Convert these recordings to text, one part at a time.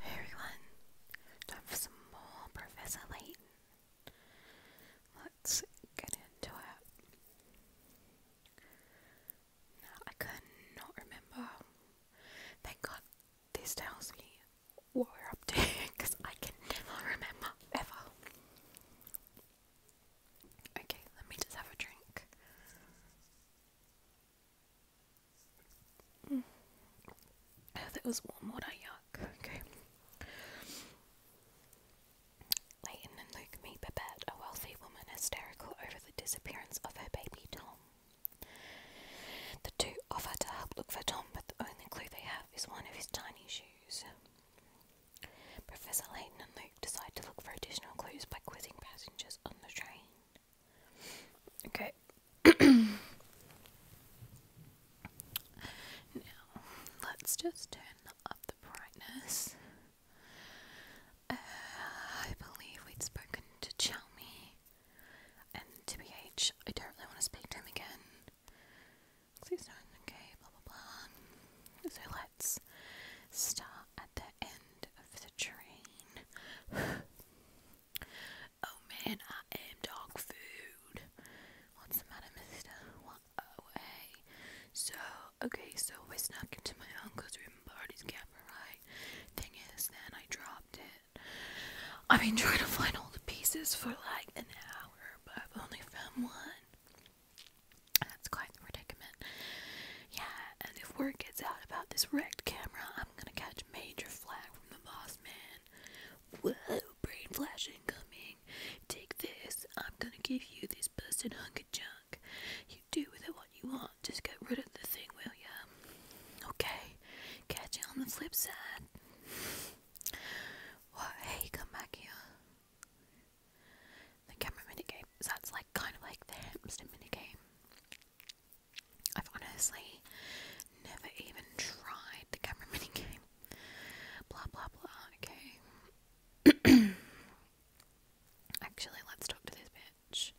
Hey everyone, time for some more Professor Layton. Let's get into it. I cannot remember. Thank God this tells me what we're up to because I can never remember ever. Okay, let me just have a drink. Mm. that was one more yuck. Okay. Leighton and Luke meet Babette, a wealthy woman hysterical over the disappearance of her baby Tom. The two offer to help look for Tom, but the only clue they have is one of his tiny shoes. Professor Layton and Luke decide to look for additional clues by quizzing passengers on the train. Okay. now, let's just turn up the brightness. Uh, I believe we'd spoken to Chalmy and to BH. I don't really want to speak to him again. Please do Okay, blah blah blah. So let's start at the end of the train. Oh man, I am dog food. What's the matter, mister? Oh, hey. So, okay, so I snuck into my uncle's room and borrowed his camera, right? Thing is, then I dropped it. I've been trying to find all the pieces for like an hour, but I've only found one. That's quite predicament. Yeah, and if word gets out about this wrecked camera, I'm gonna catch major flack from the boss man. Whoa, brain flash coming. Take this. I'm gonna give you this busted hunk of junk. You do with it what you want. Just get rid of the thing, will ya? Okay. Catch you on the flip side. Hey, come back here. The camera minigame. So that's like kind of like the hamster minigame. I've honestly never even tried the camera mini game. Blah blah blah. Okay. Actually, let's talk to this bitch.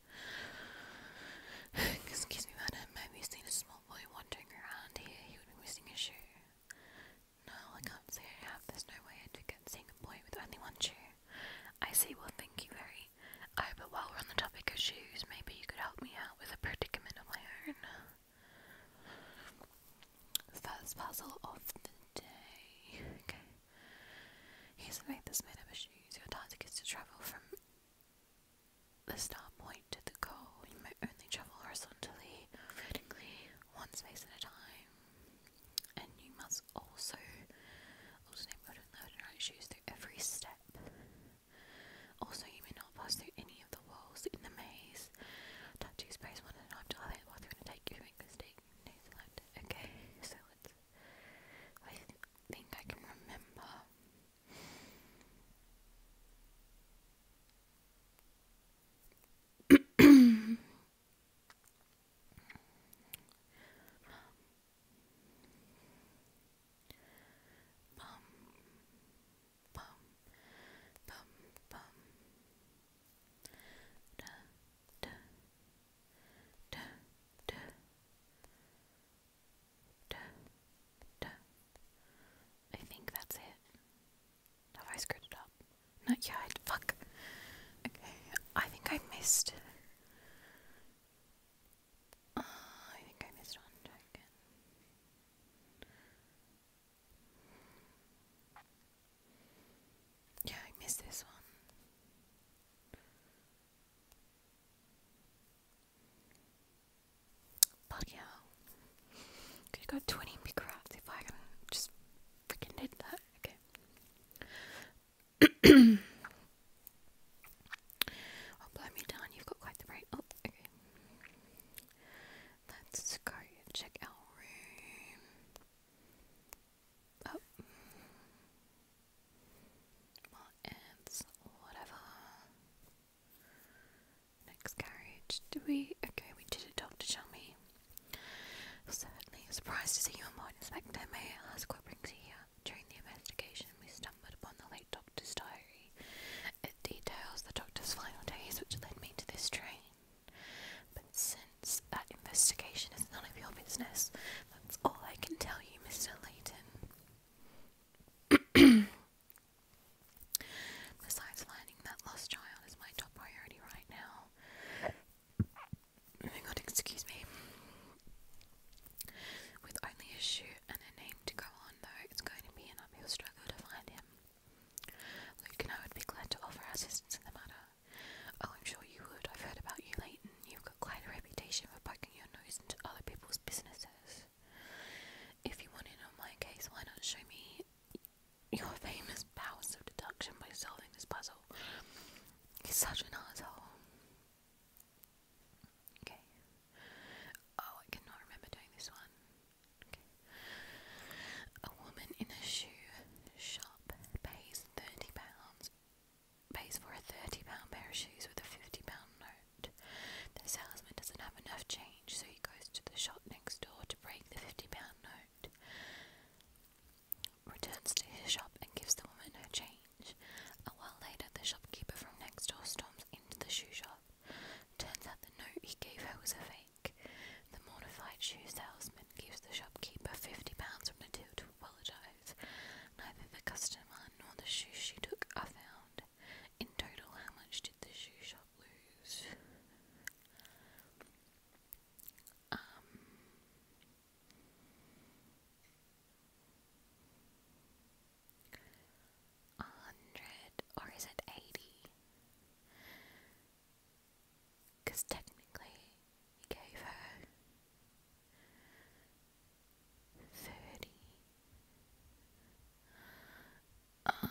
Excuse me, madam. Have you seen a small boy wandering around here? He would be missing a shoe. No, I can't say I There's no way I could get seeing a boy with only one shoe. I see. Well, thank you very Okay, but while we're on the topic of shoes, maybe you could help me out with a predicament of my own. First puzzle of the day. Okay. Here's a map that's made of shoes. Your task is to travel from the start point to the goal. You may only travel horizontally, vertically, one space at a time. And you must also alternate left and right shoes through every step. Also, you may not pass through any of the walls in the maze. Touch two space one at a time to elevate the bathroom and take Okay, so let's. I th think I can remember. Bum, bum, bum, bum. Da, da, da, da, da, da. I think that's it. Have I screwed it up? Not yet. Fuck. Okay, I think I missed I think I missed one Yeah, I missed this one. Bloody hell. Could got 20 big if I can just freaking did that. Okay. Oh, blow me down, you've got quite the brain. Oh, okay. Let's go check our room. Oh. Well, it's whatever. Next carriage. Do we? Okay, we did a doctor chummy. Certainly surprised to see you in Morton Inspector Mayor. Ask what brings you here during the investigation we stumbled upon the late doctor's diary. It details the doctor's final days, which led me to this train. But since that investigation is none of your business, that's all I can tell you, Mr. Layton. Besides finding that lost child is my top priority right now. Oh my god, excuse me. With only a shoe and a name to go on, though, it's going to be an uphill struggle to find him. Luke and I would be glad to offer assistance in the matter. Oh, I'm sure you would. I've heard about you, Leighton. You've got quite a reputation for poking your nose into other people's businesses. If you want in on my case, why not show me your famous powers of deduction by solving this puzzle? He's such an asshole. Okay. Oh, I cannot remember doing this one. Okay. A woman in a shoe shop pays thirty pounds pays for a thirty pound pair of shoes with a fifty pound note. The salesman doesn't have enough change, so he goes to the shop next door to break the fifty pound note. Returns to his shop and gives the woman her change. A while later, the shopkeeper from next door storms into the shoe shop Turns out the note he gave her was a fake. The mortified shoe salesman gives the shopkeeper fifty pounds from the deal to apologise. Neither the customer nor the shoe she took are found. In total, how much did the shoe shop lose? Um, hundred, or is it eighty? Because technically, he gave her thirty. Uh,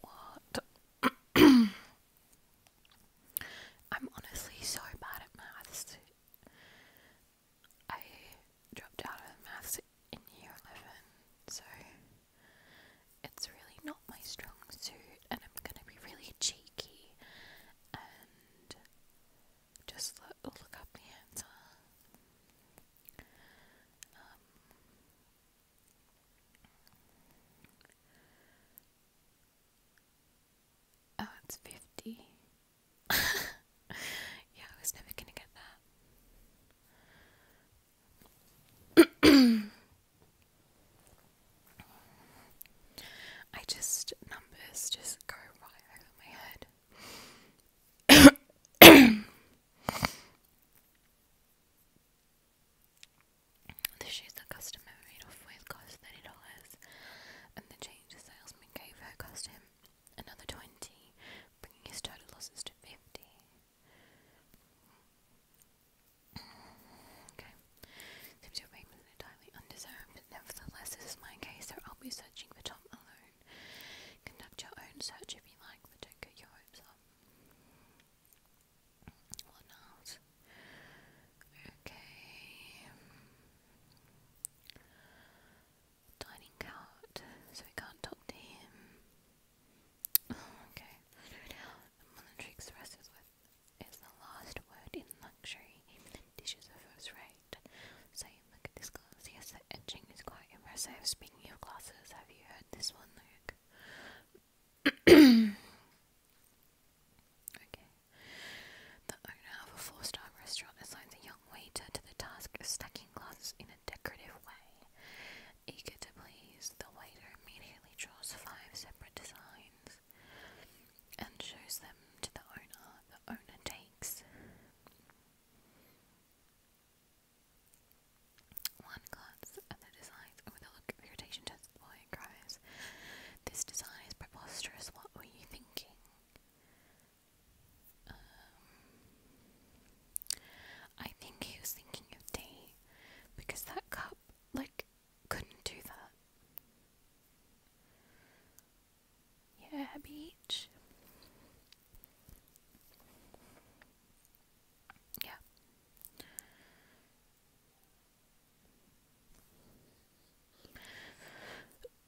what? I'm honestly so bad at maths. I dropped out of maths in year 11, so it's really not my strong suit, and I'm gonna be really cheeky and just look, look up the answer. Um, Oh, it's 50. yeah, I was never gonna get that. I just numbers just go right over my head. the shoes the customer made off with cost thirty dollars, and the change the salesman gave her cost him another 20, bringing his total losses to 50. Okay. Seems your fame is entirely undeserved, nevertheless, this is my case, so I'll be searching for Tom alone. Conduct your own search if you like, but don't get your hopes up. What not? Okay dining out, so we can't talk to him. Oh, okay. No doubt, is, the last word in luxury. Even the first rate. So, look at this glass. Yes, the etching is quite impressive. Speaking of glasses, have you heard this one, Luke? okay. The owner of a four-star restaurant assigns a young waiter to the task stacking glasses in a decorative way. Eager to please, the waiter immediately draws five separate designs and shows them to the owner. The owner takes one glance at the designs with a look of irritation turns boy cries, This design is preposterous, what were you thinking? Um, I think he was thinking of tea because that cup, like, couldn't do that. Yeah, beach. Yeah.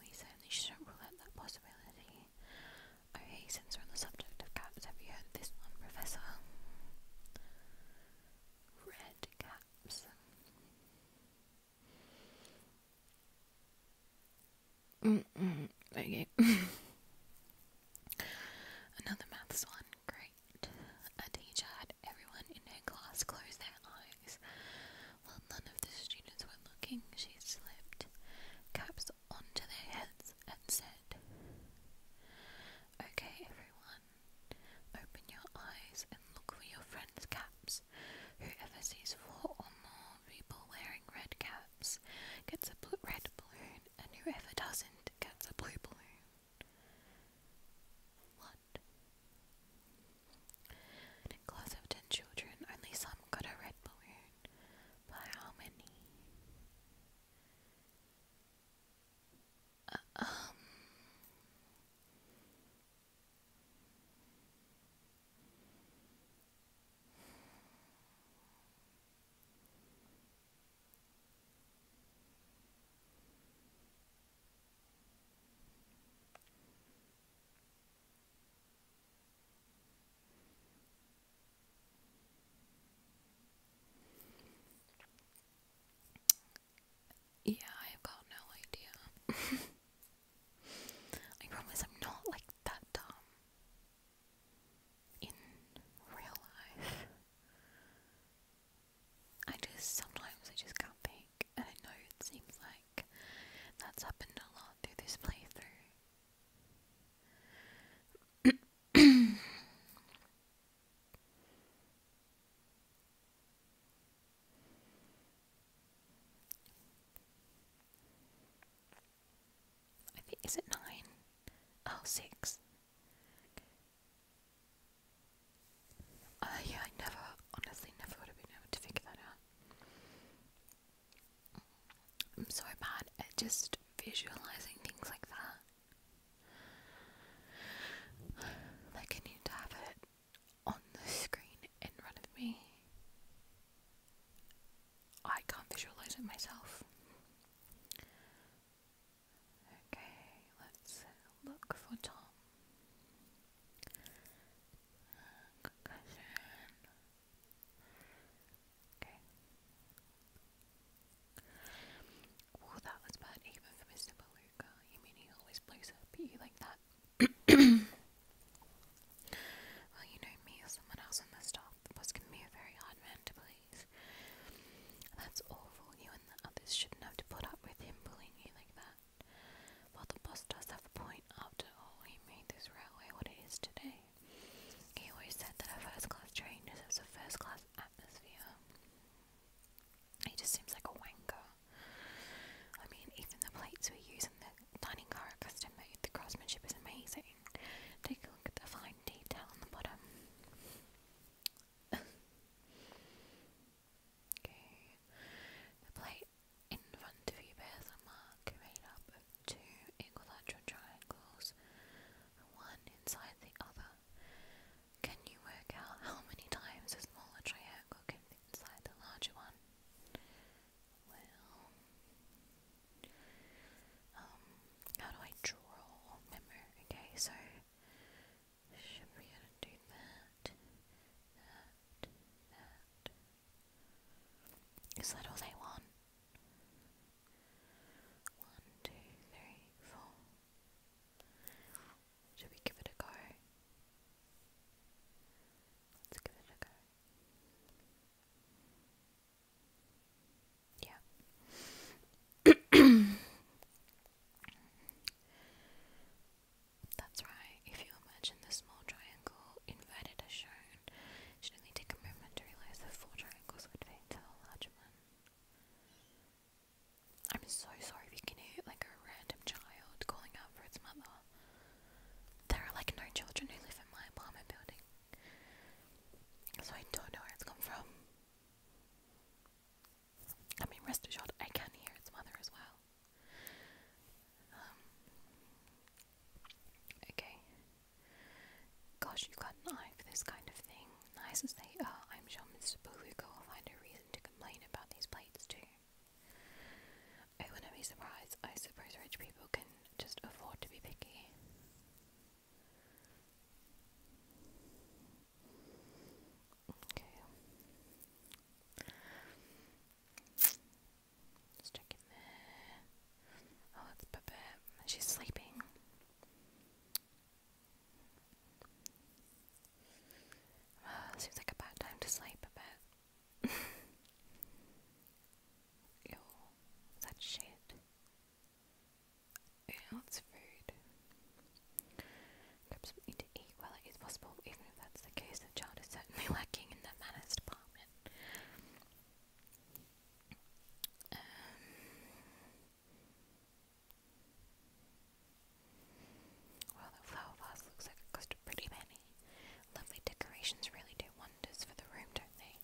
we certainly shouldn't rule out that possibility. Okay, since we're on the subject of cats, have you heard this one, Professor? Red caps. okay. Another maths one. Great. A teacher had everyone in her class close their eyes while none of the students were looking, she slipped caps onto their heads and said, Okay, everyone, open your eyes and look for your friends' caps. Whoever sees four or more people wearing red caps gets a blue balloon, and whoever doesn't gets a blue balloon. What? class of ten children, only some got a red balloon. By how many? Uh, um. Yeah, I've got no idea. I promise I'm not like that dumb in real life. I just sometimes I just can't think, and I know it seems like like. That's happened a lot through this playthrough. I think is it nine? Oh, six. Oh, yeah, I never, honestly, never would have been able to figure that out. I'm so bad at just visualizing things like that. Like, I need to have it on the screen in front of me. I can't visualize it myself. Okay, let's look for Tom. Concussion. Well, that was bad even for Mr. Beluga. You mean he always blows up at you like that? well, you know me or someone else on the staff. The boss can be a very hard man to please. That's awful. You and the others shouldn't to put up with him bullying you like that. Well, the boss does have a point. After all, he made this railway what it is today day. He always said that a first class train deserves a first class atmosphere. He just seems like a wanker. I mean, even the plates we use in the dining car are custom made. The craftsmanship is amazing. Take a look at the fine detail on the bottom. okay. The plate in front of you bears a mark made up of two equilateral triangles, one inside the other. Can you work out how many times a smaller triangle can fit inside the larger one? Well, um, how do I draw Okay, so should be able to do that, that, that, is that all they want? One, two, three, four. Should we give it a go? Let's give it a go. Yeah. That's right. If you imagine the small triangle inverted as shown, should only take a moment to realize that four triangles would fit into a larger one. I'm so sorry if you can hear like a random child calling out for its mother. There are like no children who live in my apartment building. So I don't know where it's come from. I mean, rest assured, I can hear its mother as well. Um, okay. Gosh, you got an eye for this kind of thing. Nice as they I'm sure Mr. Beluga will find a reason to complain about these plates too. I oh, wouldn't be surprised. I suppose rich people can just afford to be picky. Okay. Let's Oh, that's Babette. She's sleeping. seems like a bad time to sleep, Babette. Ew, that shit. Yeah, that's food. Grab something to eat while it is possible, even if that's the case, the child is certainly lacking in the manners department. Um, well, the flower vase looks like it cost a pretty penny. Lovely decorations really do wonders for the room, don't they?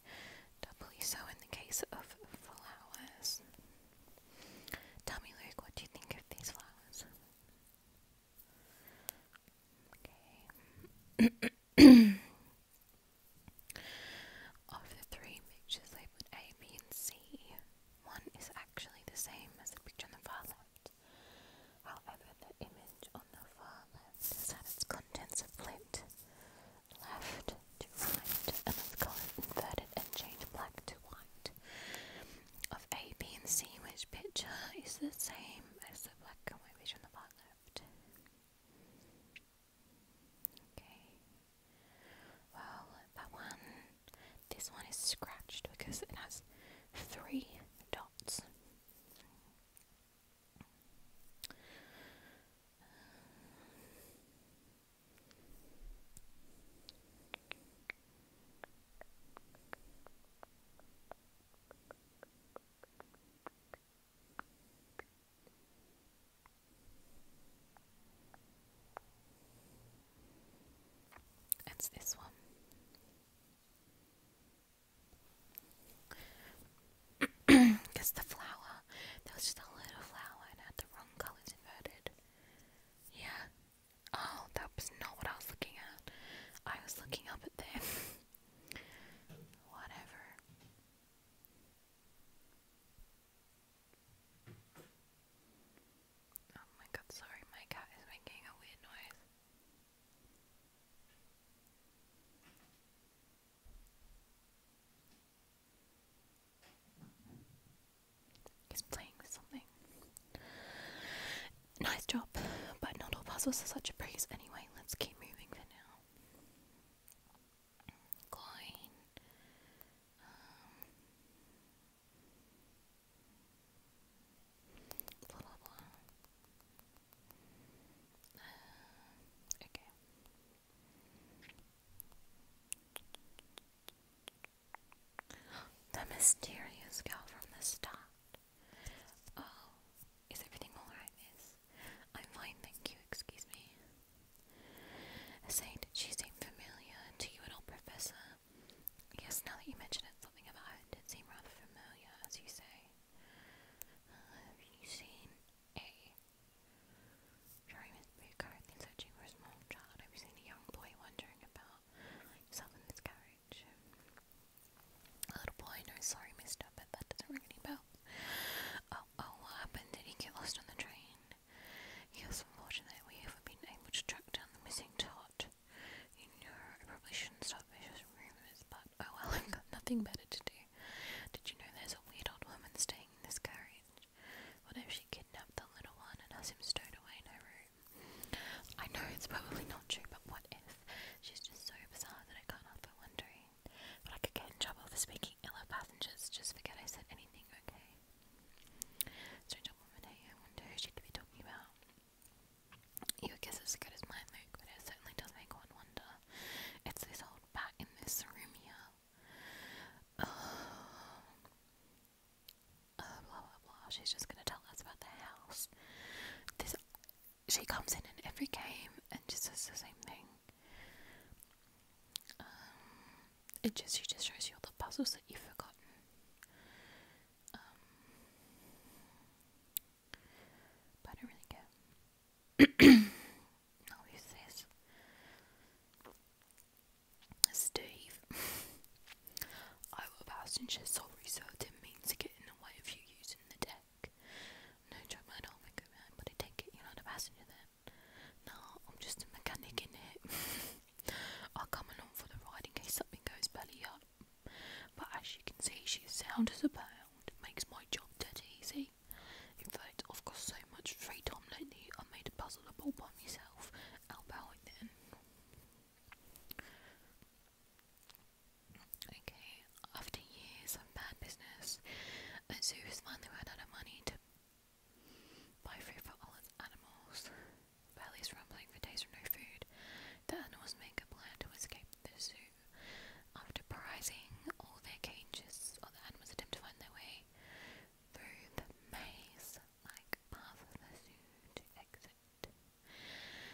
Doubly so in the case of flowers. Tell me, Luke, what do you think of these flowers? Of the three pictures labelled A, B, and C, one is actually the same as the picture on the far left. However, the image on the far left has had its contents flipped left to right and its colours inverted and changed black to white. Of A, B, and C, which picture is the same as the black and white picture on the far left? Okay. Well, that one, this one is scratched because it has three dots. It's this one. Because the flower, That was just a little flower and I had the wrong colours inverted. Yeah. Oh, that was not what I was looking at. I was looking up at them. Whatever. Oh my god, sorry, my cat is making a weird noise. He's playing with something. Nice job, but not all puzzles are such a breeze anyway. Let's keep moving for now. Um, uh, the mysterious girl from the start. Oh, is everything alright, miss? I'm fine, thank you, excuse me. Saying, did she seem familiar to you at all, Professor? Yes, now that you mention it, something about her did seem rather familiar, as you say. Uh, have you seen a... Jeremy is currently searching for a small child. Have you seen a young boy wondering about himself in this carriage? A little boy, no, sorry, mister, but that doesn't ring any bell. Oh, oh, what happened? Did he get lost on the train? He unfortunate we haven't been able to track down the missing tot. You know, I probably shouldn't stop vicious rumours, but oh well, I've got nothing better to do. Did you know there's a weird old woman staying in this carriage? What if she kidnapped the little one and has him stowed away in her room? I know it's probably not true, but what if? She's just so bizarre that I can't help but wondering. But I could get in trouble for speaking ill of passengers. Just forget I said anything, okay? Strange woman, hey? I wonder who she could be talking about. Your guess is as good as mine, but it certainly does make one wonder. It's this old bat in this room here. Oh. blah blah blah. She's just gonna tell us about the house. This she comes in in every game and just does the same thing. Um, it just she just shows you all the puzzles that you've forgotten. Um, but I don't really care. I'll use Steve. I will pass and she's sorry, so it means to get in the way of you using the deck no joke, man, I don't think man, but I take it, you're not a passenger then. No, I'm just a mechanic in it. i come along for the ride in case goes belly up. But as you can see, she's sound as a pound, makes my job dead easy. In fact, I've got so much free time lately, I made a puzzle all by myself. How about it then? Okay, after years of bad business, a zoo's finally ran out of money to buy food for all its animals. Valley's rumbling for days with no food. The animals make a plan to escape the zoo. After prizing all their cages, all the animals attempt to find their way through the maze like path of the zoo to exit.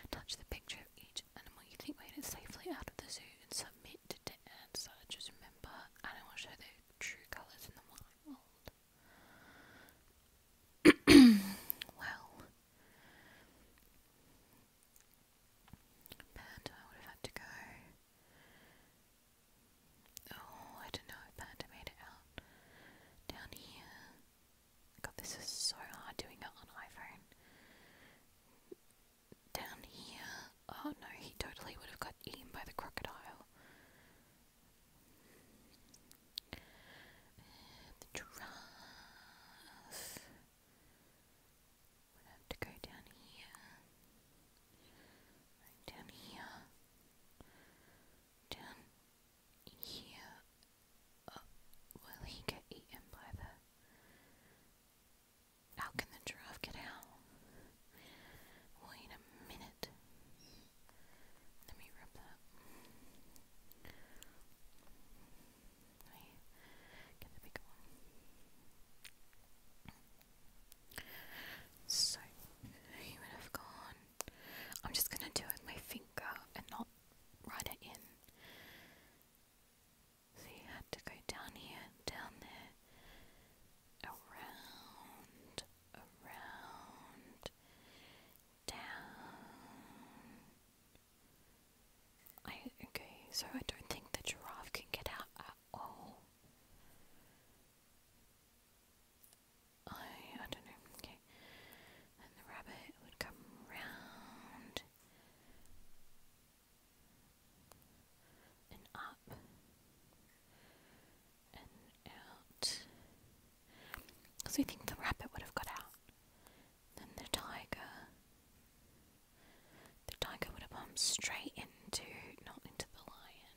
Touch the picture of each animal you think made it safely out of the zoo and submit to and so I just remember I don't want to show their true colours in the wild. well Panda would have had to go. Oh, I don't know if Panda made it out. Down here. God, this is so hard doing it on iPhone down here. Oh no, he totally would have got eaten by the crocodile. The giraffe would have to go down here, down here, down here. Uh, will he get eaten by the how can the giraffe get out? Wait a minute. Let me rub that. Let get the bigger one. So, he would have gone. I'm just gonna do it with my finger and not write it in. So you had to go down here, down there, around, around, down. I okay, so I don't think the giraffe can get out at all. I I don't know. Okay, and the rabbit would come round and up and out. Because we think the rabbit would have got out. Then the tiger. The tiger would have bumped straight into, not into the lion.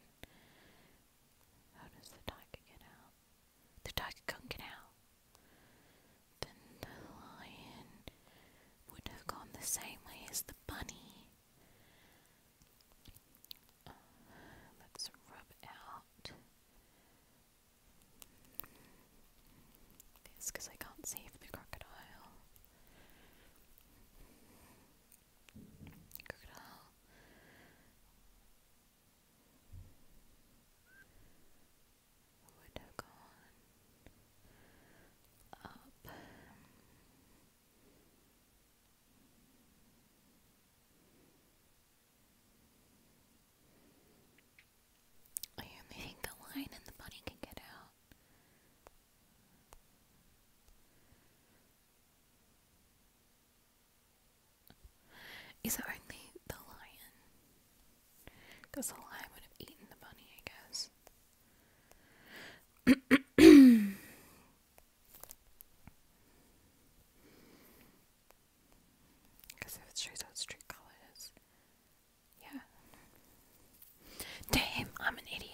How does the tiger get out? The tiger can't get out. Then the lion would have gone the same way as the bunny let's rub out this because I can't save the crocodile. Crocodile. Would have gone up. I only think the lion and the bunny can get out. Is it only the lion? Because the lion would have eaten the bunny, I guess. Because if it shows out street colors, yeah. Damn, I'm an idiot.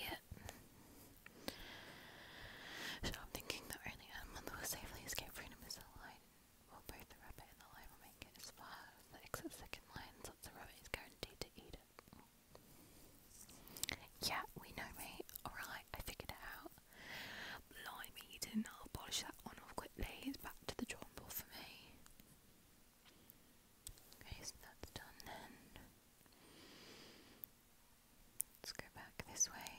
So I'm thinking the only animal that will safely escape freedom is the lion. Well, both the rabbit and the lion make it as far the second line, so the rabbit is guaranteed to eat it. Yeah, we know, mate. Alright, I figured out. Blimey, you did I'll polish that one off quickly. It's back to the drawing board for me. Okay, so that's done then. Let's go back this way.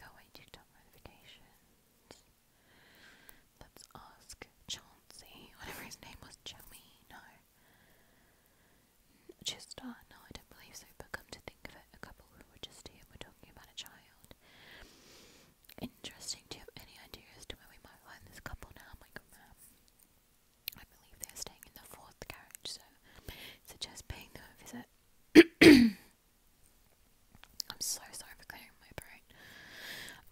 Go away, notifications. Let's ask Chauncey. Whatever his name was, Chummy. No. Chistar? No, I don't believe so, but come to think of it, a couple who were just here were talking about a child. Interesting, do you have any ideas as to where we might find this couple now? My good ma'am. I believe they are staying in the fourth carriage, so suggest paying them a visit. I'm so sorry for clearing my brain.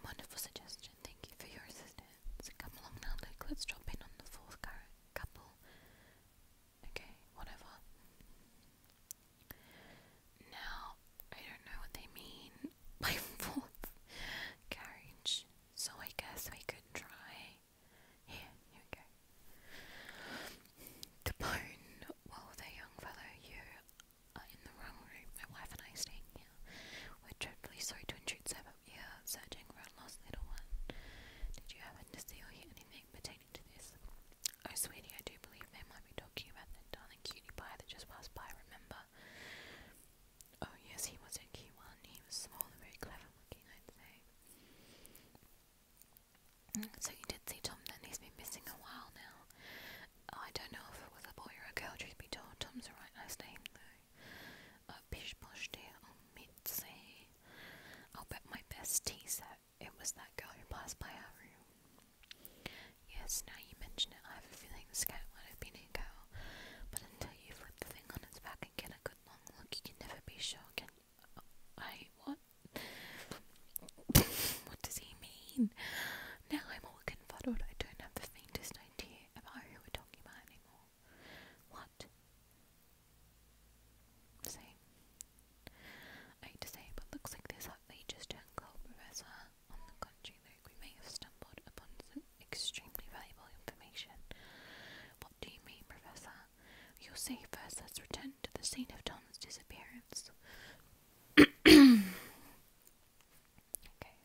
Wonderful suggestion, thank you for your assistance. Come along now, Luke, let's drop in on the fourth carriage couple. Okay, whatever. Now, I don't know what they mean by fourth carriage, so I guess we could try. Here, here we go. Capone, well, the young fellow, you are in the wrong room. My wife and I are here. We're dreadfully sorry to intrude, sir, yeah, searching for a lost little one. Did you happen to see or hear anything pertaining to this? Oh, sweetie, I do believe they might be talking about that darling cutie pie that just passed by, remember? Oh, yes, he was a key one. He was small and very clever looking, I'd say. Mm, so you did see Tom then? He's been missing a while now. Oh, I don't know if it was a boy or a girl, truth be told. Tom's a right nice name, though a pish posh day on midsay. I'll bet my best tea set it was that girl who passed by our room. Yes, now you mention it, I have a feeling this cat might have been a girl, but until you flip the thing on its back and get a good long look, you can never be sure. Can I what? what does he mean? Now I'm all confuddled. I don't have the faintest idea about who we're talking about anymore. What? Same. I hate to say, but looks like this outrageous jungle professor on the country Luke, may have stumbled upon some extremely valuable information. What do you mean, Professor? You'll see first let's return to the scene of Tom's disappearance. okay,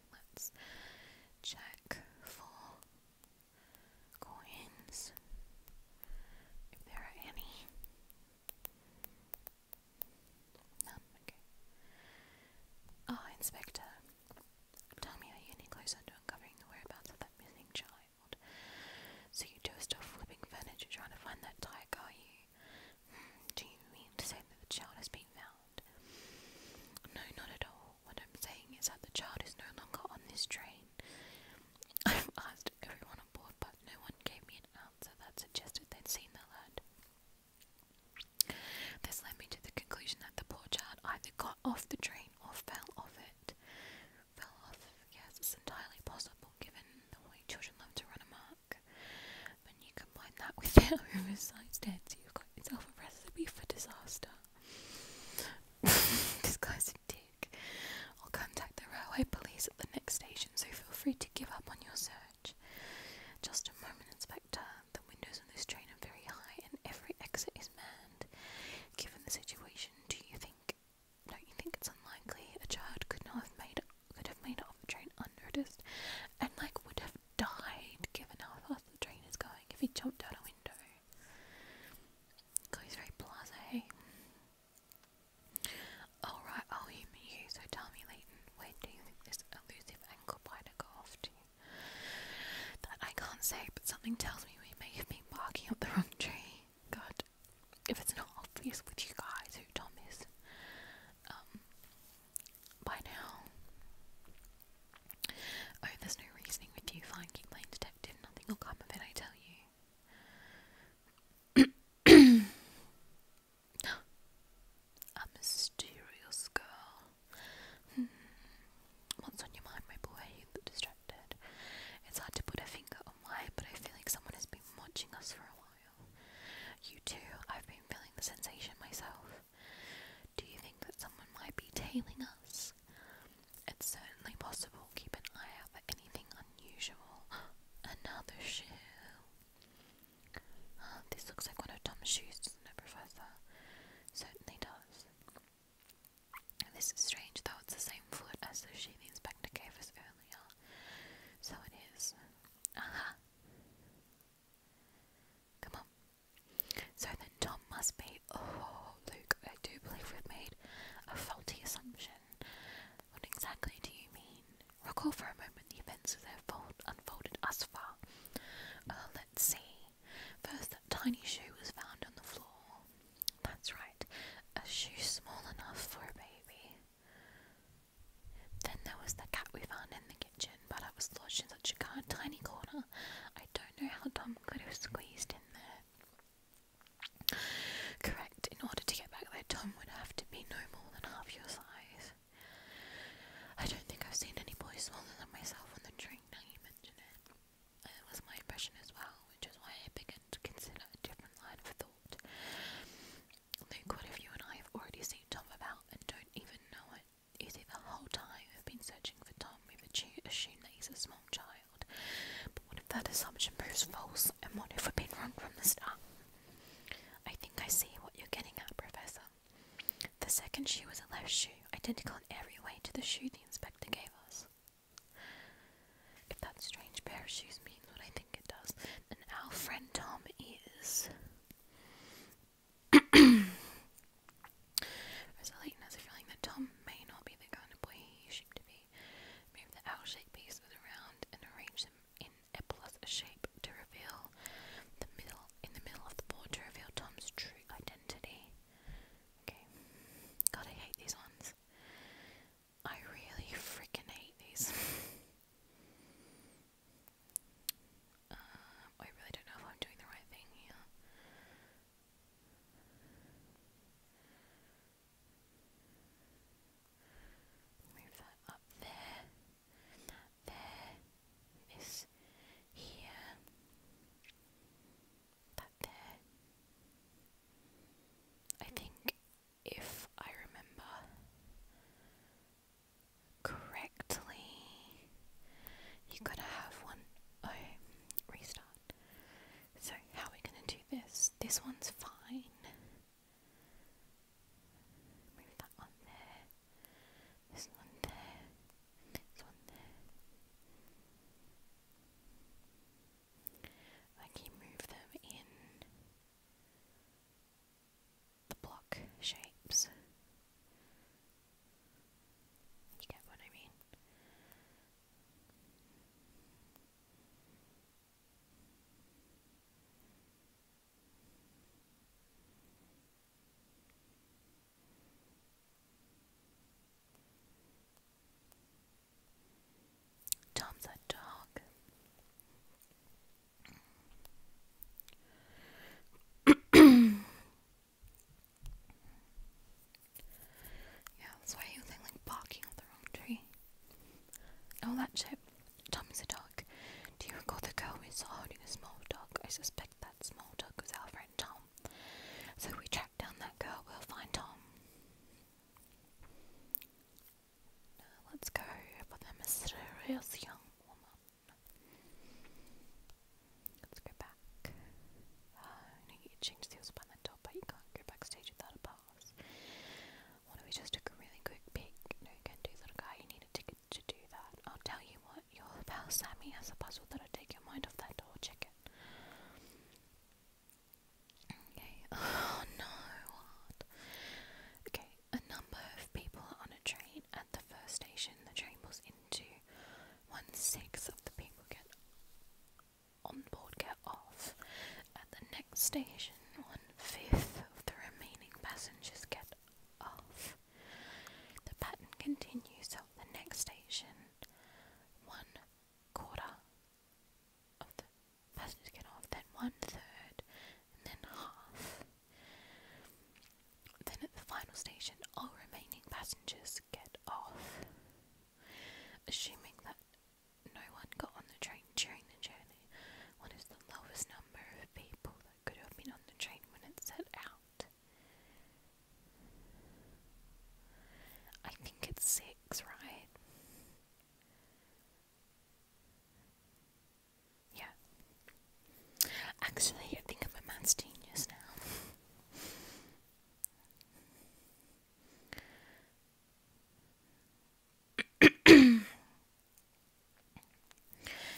let's check for coins, if there are any. None, okay. Ah, oh, Inspector, tell me are you any closer to uncovering the whereabouts of that missing child? So you two are still flipping furniture trying to find that tyke, are you? Hmm, do you mean to say that the child has been found? No, not at all. What I'm saying is that the child is no longer on this train. I've asked everyone on but no one gave me an answer that suggested they'd seen the lad. This led me to the conclusion that the poor child either got off the train or fell off it. Fell off, yes, entirely possible given the way children love to run amok. When you combine that with their oversized heads, you've got yourself a recipe for disaster. this guy's a dick. I'll contact the railway police at the next station, so feel free to give up on your search. Just a moment, Inspector. The windows on this train are very high and every exit is manned. Given the situation, do you think don't you think it's unlikely a child could not have made could have made off the train unnoticed and like would have died given how fast the train is going if he jumped out a window? God, he's All right, I'll humour you. So tell me, Leighton, where do you think this elusive ankle biter got to? That I can't say, but something tells me we may have been barking up the wrong tree. God, if it's not obvious with you guys who Tom is, um, by now. Oh, there's no reasoning with you, fine, keep playing detective, nothing will come of it, I tell you. A mysterious girl. Hmm. What's on your mind, my boy? You distracted. It's hard to put a finger on why, but I feel like someone has been watching us for a while. You too, I've been feeling the sensation myself. Do you think that someone might be tailing us? It's certainly possible. Keep an eye out for anything unusual. Another shoe. this looks like one of Tom's shoes, doesn't it, Certainly does. This is strange, though it's the same foot as the shoe the inspector gave us earlier. So it is. Aha! Come on. So the Tom must be, oh, Luke, I do believe we've made a faulty assumption. What exactly do you mean? Recall for a moment the events as they've unfolded thus far. Uh, let's see. First, that tiny shoe was found on the floor. That's right, a shoe small enough for a baby. Then there was the cat we found in the kitchen, but it was lodged in such a tiny corner. I don't know how Tom could have squeezed in there. Correct. In order to get back there, Tom would have to be no more than half your size. I don't think I've seen any boy smaller than myself on the train now you mention it. It was my impression as well, which is why I began to consider a different line of thought. Think what if you and I have already seen Tom about and don't even know it? Is it the whole time we've been searching for Tom, we've assumed he's a small child? But what if that assumption proves false, and what if we've been wrong from the start? I think I see what you're getting at, Professor. The second shoe was a left shoe, identical in every way to the shoe the inspector gave us. If that strange pair of shoes means what I think it does, then our friend Tom is. Rosaline has a feeling that Tom may not be the kind of boy he is to be. Move the owl shaped pieces around and arrange them in a plus shape to reveal the middle in the middle of the board to reveal Tom's true identity. Okay. God I hate these ones. I really freaking hate these. Um, I really don't know if I'm doing the right thing here. Move that up there. there is here. That there. I think if I remember correctly, you gotta have one. Oh, restart. So, how are we going to do this? This one's fine. Move that one there. This one there. This one there. I can move them in the block shapes. You get what I mean? Tom's a dog. Yeah, that's why you think like barking up the wrong tree. Oh, that chip. Tommy's a dog. Do you recall the girl we saw holding a small dog? I suspect that small dog was our friend Tom. So we track down that girl, we'll find Tom. let's go for the mysterious young woman. Let's go back. need to change the by the but you can't go backstage without a pass. Why don't we just take a really quick peek? No, you can't do that, guy. You need a ticket to do that. I'll tell you what, your pal Sammy has a puzzle that'll take your mind off that door. Check it. Okay. Oh no, Okay, a number of people are on a train at the first station the train pulls into. One sixth of the people get on board get off at the next station. One fifth of the remaining passengers get off. The pattern continues at the next station. One quarter of the passengers get off, then one third, and then half. Then at the final station, all remaining passengers get off. Assuming that no one got on the train during the journey, what is the lowest number of people that could have been on the train when it set out? I think it's six, right? Yeah. Actually, I think i a maths genius now.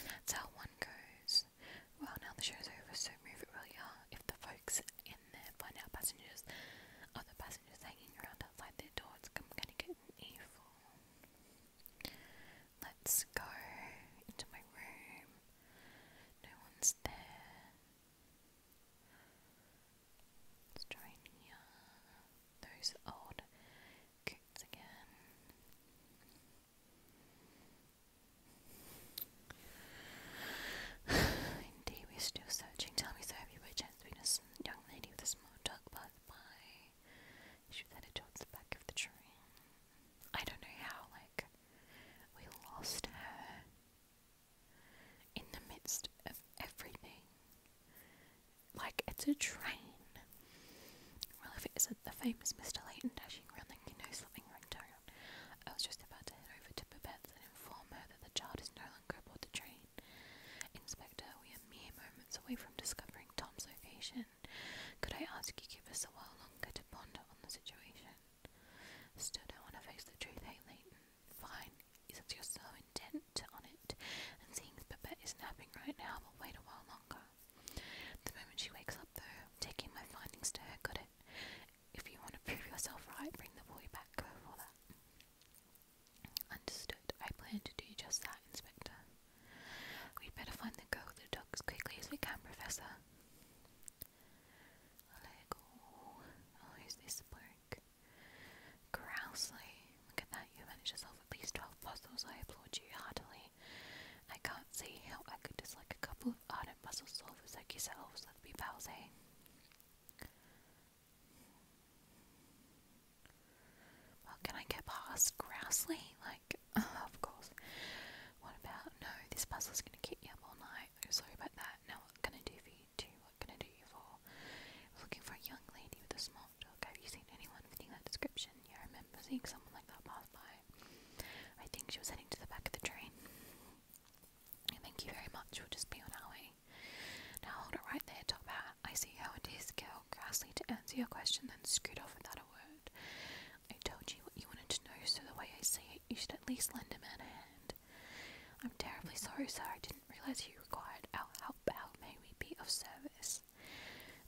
That's how one goes. Well, now the show's over, so move it really hard. If the folks in there find out passengers, other passengers hanging around outside their door, it's gonna get evil. Let's go into my room. No one's there. Let's try and those old coots again. Indeed, we're still searching. Tell me, so have you by chance been a young lady with a small dog pass by? She headed towards the back of the train. I don't know how, like, we lost her in the midst of everything. Like it's a train. Well, if it isn't the famous Mr. Layton dashing around, then you know something I was just about to head over to Babette's and inform her that the child is no longer aboard the train. Inspector, we are mere moments away from discovering Tom's location. Could I ask you give us a while longer to ponder on the situation? Still don't want to face the truth, hey Layton. Fine, since you're so intent on it, and seeing as Babette is napping right now, we'll wait a while longer. The moment she wakes up, though, taking my findings to her, got it? If you want to prove yourself right, bring the boy back, go for that. Understood. I plan to do just that, Inspector. We'd better find the girl with the dog as quickly as we can, Professor. Lego. I'll oh, this blue Eric. look at that, you managed to solve at least 12 puzzles, I applaud you heartily. I can't see how I could just like a couple of ardent puzzle solvers like yourselves, let's be pals, eh? Well, can I get past Grousely? Like, of course. What about, no, this puzzle's gonna keep you up all night. I'm sorry about that. Now what can I do for you? What can I do you for? looking for a young lady with a small dog. Have you seen anyone fitting that description? Yeah, I remember seeing someone like that pass by. I think she was heading to the back of the train. Thank you very much. We'll just be on our way. Now hold it right there, Top Hat. I see how it is, girl. Grassley to answer your question, then scoot off without a word. I told you what you wanted to know, so the way I see it, you should at least lend a man a hand. I'm terribly sorry, sir. I didn't realize you required our help. How may we be of service?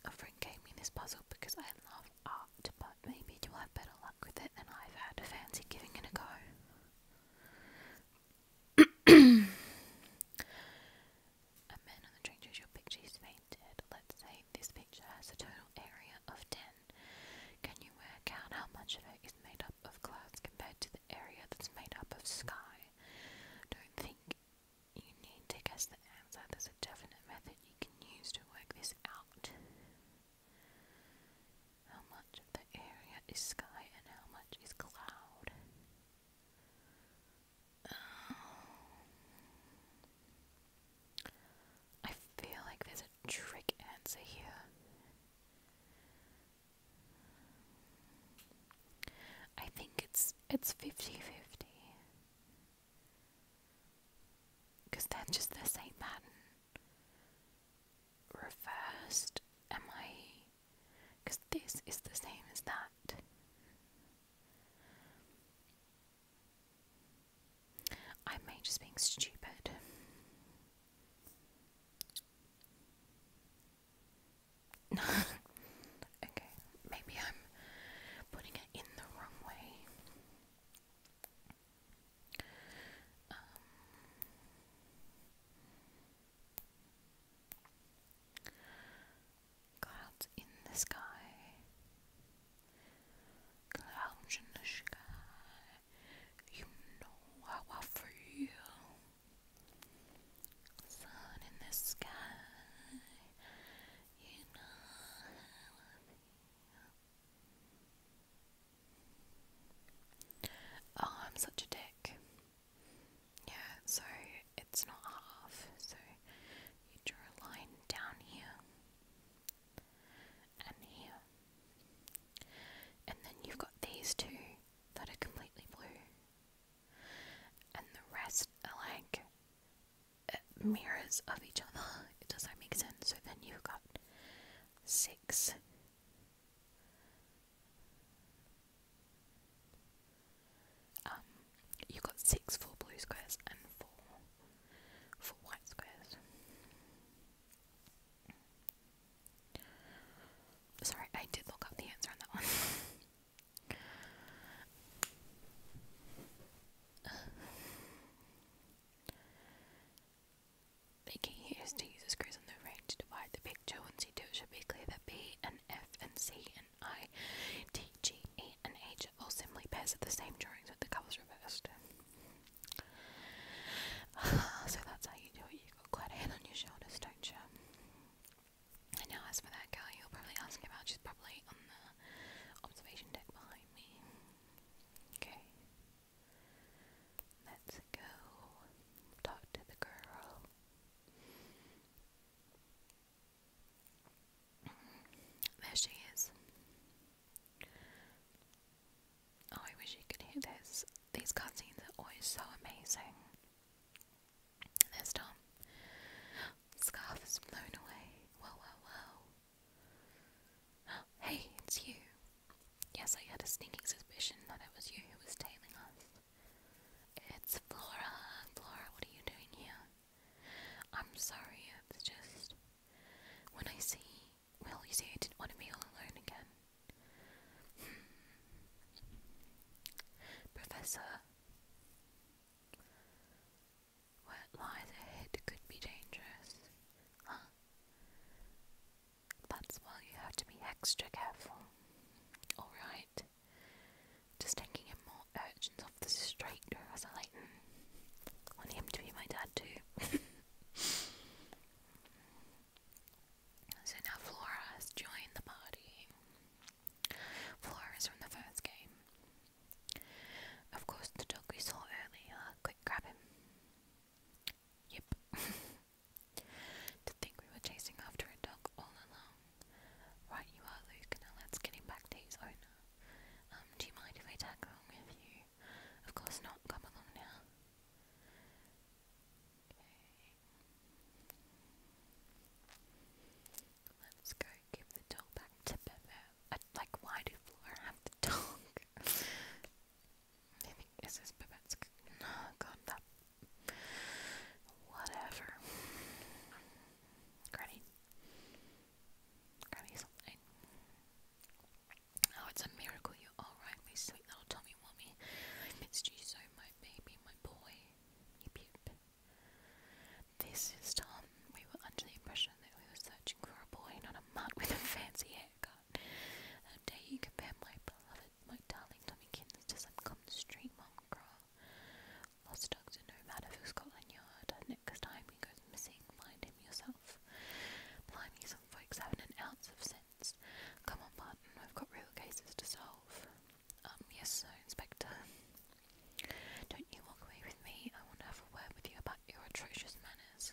A friend gave me this puzzle because I love art, but maybe you'll have better luck with it than I've had. fancy giving it a go. a man on the train shows your picture is fainted. Let's say this picture has a total area of ten. Can you work out how much of it is made up of clouds compared to area that's made up of sky. I Don't think you need to guess the answer. There's a definite method you can use to work this out. How much of the area is sky and how much is cloud? Um, I feel like there's a trick answer here. I think it's it's 50 50 because they're just the same pattern reversed. Am I because this is the same as that? I may just being stupid. okay, maybe I'm putting it in the wrong way. Um, clouds in the sky. Clouds in the sky. You know how I feel in the sky. Oh, I'm such a dick. Yeah, so it's not half. So you draw a line down here and here, and then you've got these two that are completely blue, and the rest are like uh, mirrors of each other. It Does not make sense? So then you've got six. Um, you've got six for blue squares and four for white squares. Sorry, I did look up the answer on that one. Making use to use a screws on the range to divide the picture once you do it should be clear that B and F and C and I, T, G, E and H all simply pairs of the same drawings with the colours reversed. so that's how you do it. You've got quite a head on your shoulders, don't you? now as for that girl you're probably asking about, she's probably on the observation deck behind me. Okay. Let's go talk to the girl. There she is. Oh, I wish you could hear this. These cutscenes are always so amazing there's Tom. Scarf is blown away. Whoa, whoa, whoa. Hey, it's you. Yes, I had a sneaking suspicion that it was you who was tailing us. It's Flora. Flora, what are you doing here? I'm sorry, it just. When I see. Well, you see, I didn't want to be all alone again. Professor, where lies ahead could be dangerous. Huh? That's why you have to be extra careful. Alright. Just taking in more urchins off the street as I like want him to be my dad too. So now Flora has joined the party. Flora is from the first game. Of course, the dog we saw earlier. Quick, grab him. Yep. to think we were chasing after a dog all along. Right, you are, Luke. Now let's get him back to his owner. Um, do you mind if I tag along with you? Of course not. Come along now. Okay. Let's go give the dog back to Bebe. I, uh, like, why do Flora have the dog? I this is Bebette's. God, that. Whatever. Granny. Granny something. Oh, it's a miracle you're alright, my sweet little Tommy Wommy. I missed you so much baby, my boy. Yip, yip. This is Tom. We were under the impression that we were searching for a boy, not a mutt with a fancy haircut. How you compare my beloved, my darling to some common mongrel? Lost dogs are no matter for Scotland Yard. Next time he goes missing, find him yourself. Blimey, some folks have an ounce of sense. Come on, Martin, I've got real cases to solve. Um, yes, sir, Inspector. Don't you walk away with me. I want to have a word with you about your atrocious manners.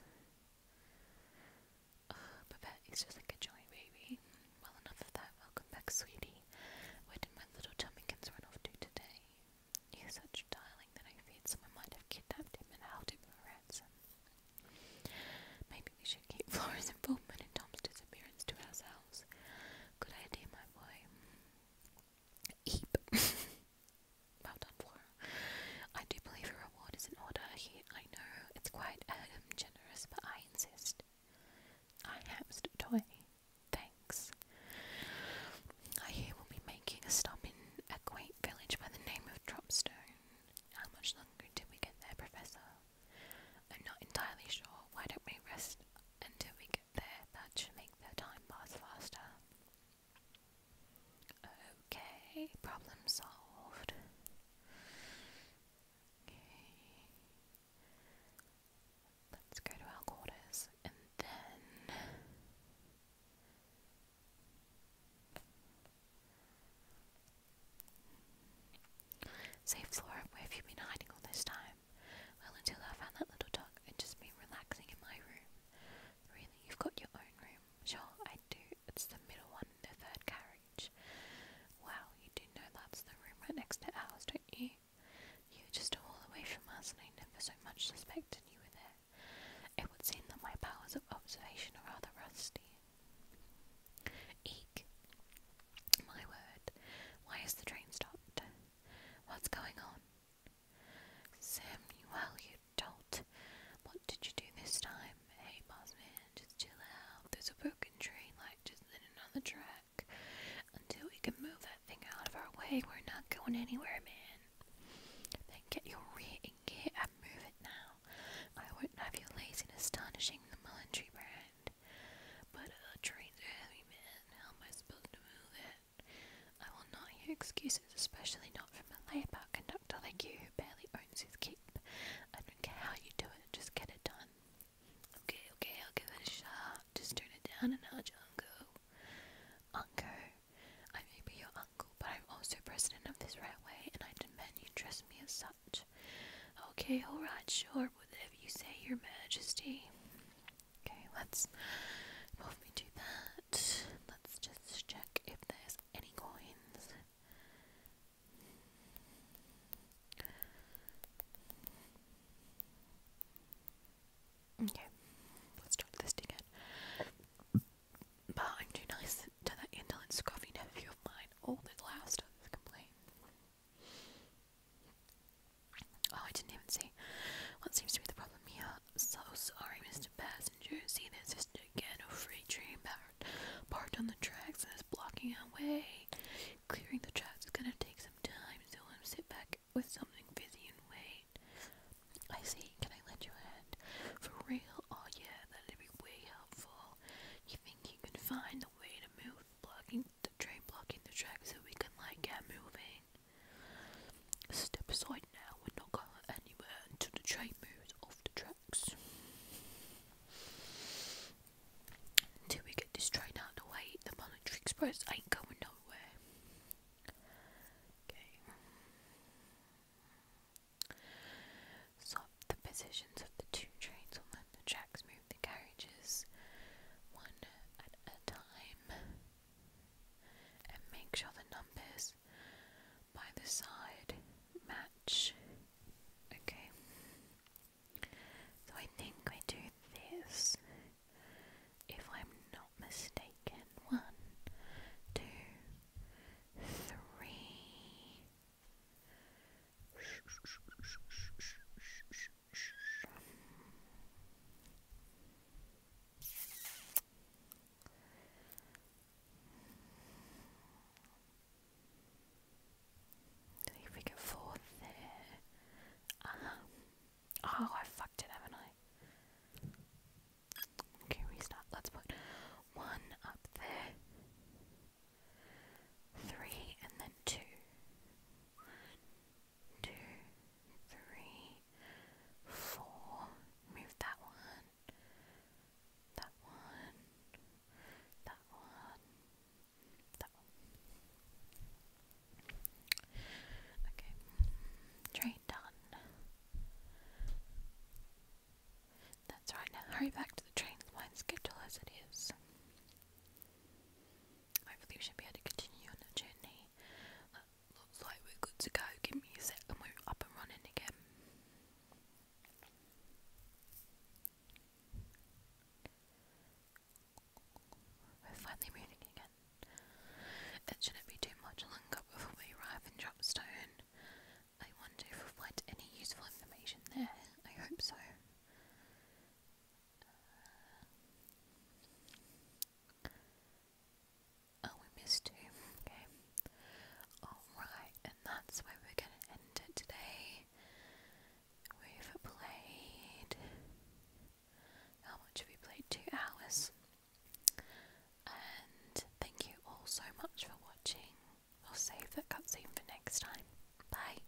Uh, ah, Babette is just like a jolly baby. Well, enough of that. Welcome back, sweetie. Where did my little Chummikins run off to today? He is such a darling that I feared someone might have kidnapped him and held him for ransom. Maybe we should keep Flora's involvement in Tom's disappearance to ourselves. Good idea, my boy. Eep. well done for. I do believe your reward is in order. I know it's quite um, generous, but I insist. I hamster toy. Thanks. I hear we'll be making a stop in a quaint village by the name of Dropstone. How much longer till we get there, Professor? I'm not entirely sure. Why don't we rest until we get there? That should make the time pass faster. Okay, problem solved. Let's go to our quarters and then. Say, Flora, where have you been hiding all this time? Well, until I found that little dog, and just me relaxing in my room. Really, you've got your own room? Sure, I do. It's the middle one in the third carriage. Wow, you do know that's the room right next to ours, don't you? You were just a wall away from us, and I never so much suspected you were there. It would seem that my powers of observation are rather rusty. Eek. My word, why is the train stopped? What's going on? Samuel, you dolt. What did you do this time? Hey, boss man, just chill out. There's a broken train light just in another track. Until we can move that thing out of our way, we're not going anywhere, man. Then get your rear in gear and move it now. I wouldn't have your lazy astonishing the military brand. But a uh, train's a heavy man. How am I supposed to move it? I will not hear excuses, especially not from a layabout conductor like you who barely owns his keep. I how you do just get it done. Okay, okay, I'll give it a shot. Just turn it down a notch, Uncle. Uncle, I may be your uncle, but I'm also president of this railway, and I demand you dress me as such. Okay, alright, sure, whatever you say, Your Majesty. Okay, let's move me to that. Let's just check if there's any coins. Okay, let's try this again. But I'm too nice to that indolent, scruffy nephew of mine. All the last of this complaint. Oh, I didn't even see. What seems to be the problem here? So sorry, Mr. Passenger. See, there's just this gigantic freight train parked on the tracks and it's blocking our way. Clearing the tracks is gonna take some time, so I'm sit back with something fizzy and wait. I see. Can I lend you a hand? For real? Oh yeah, that'd be way helpful. You think you can find the way to move the blocking the train blocking the track so we can like get moving. Step aside now, we're not going anywhere until the train moves off the tracks. Until we get this train out of the way, the Monetary Express ain't going nowhere. Okay. So the positions of the two trains on the tracks the carriages one at a time and make sure the numbers by the side match. Okay. So I think I do this, if I'm not mistaken. One, two, three, See if we get forth there. Uh-huh. Oh, I fucked it, haven't I? Okay, restart. Let's put one up there three, and then two, two, three, four. Move that one, that one, that one, that one. Okay, train done. That's right, now hurry back to the train, the line schedule as it is. Hopefully we should be able to continue on that journey. looks like we're good to go. Give me a sec and we're up and running again. We're finally moving again. It shouldn't be too much longer before we arrive in Dropstone. I wonder if we've left any useful information there. I hope so. Oh, we missed two. Okay. Alright, and that's where we're going to end it today. We've played. How much we played? Two hours. And thank you all so much for watching. We'll save that cutscene for next time. Bye.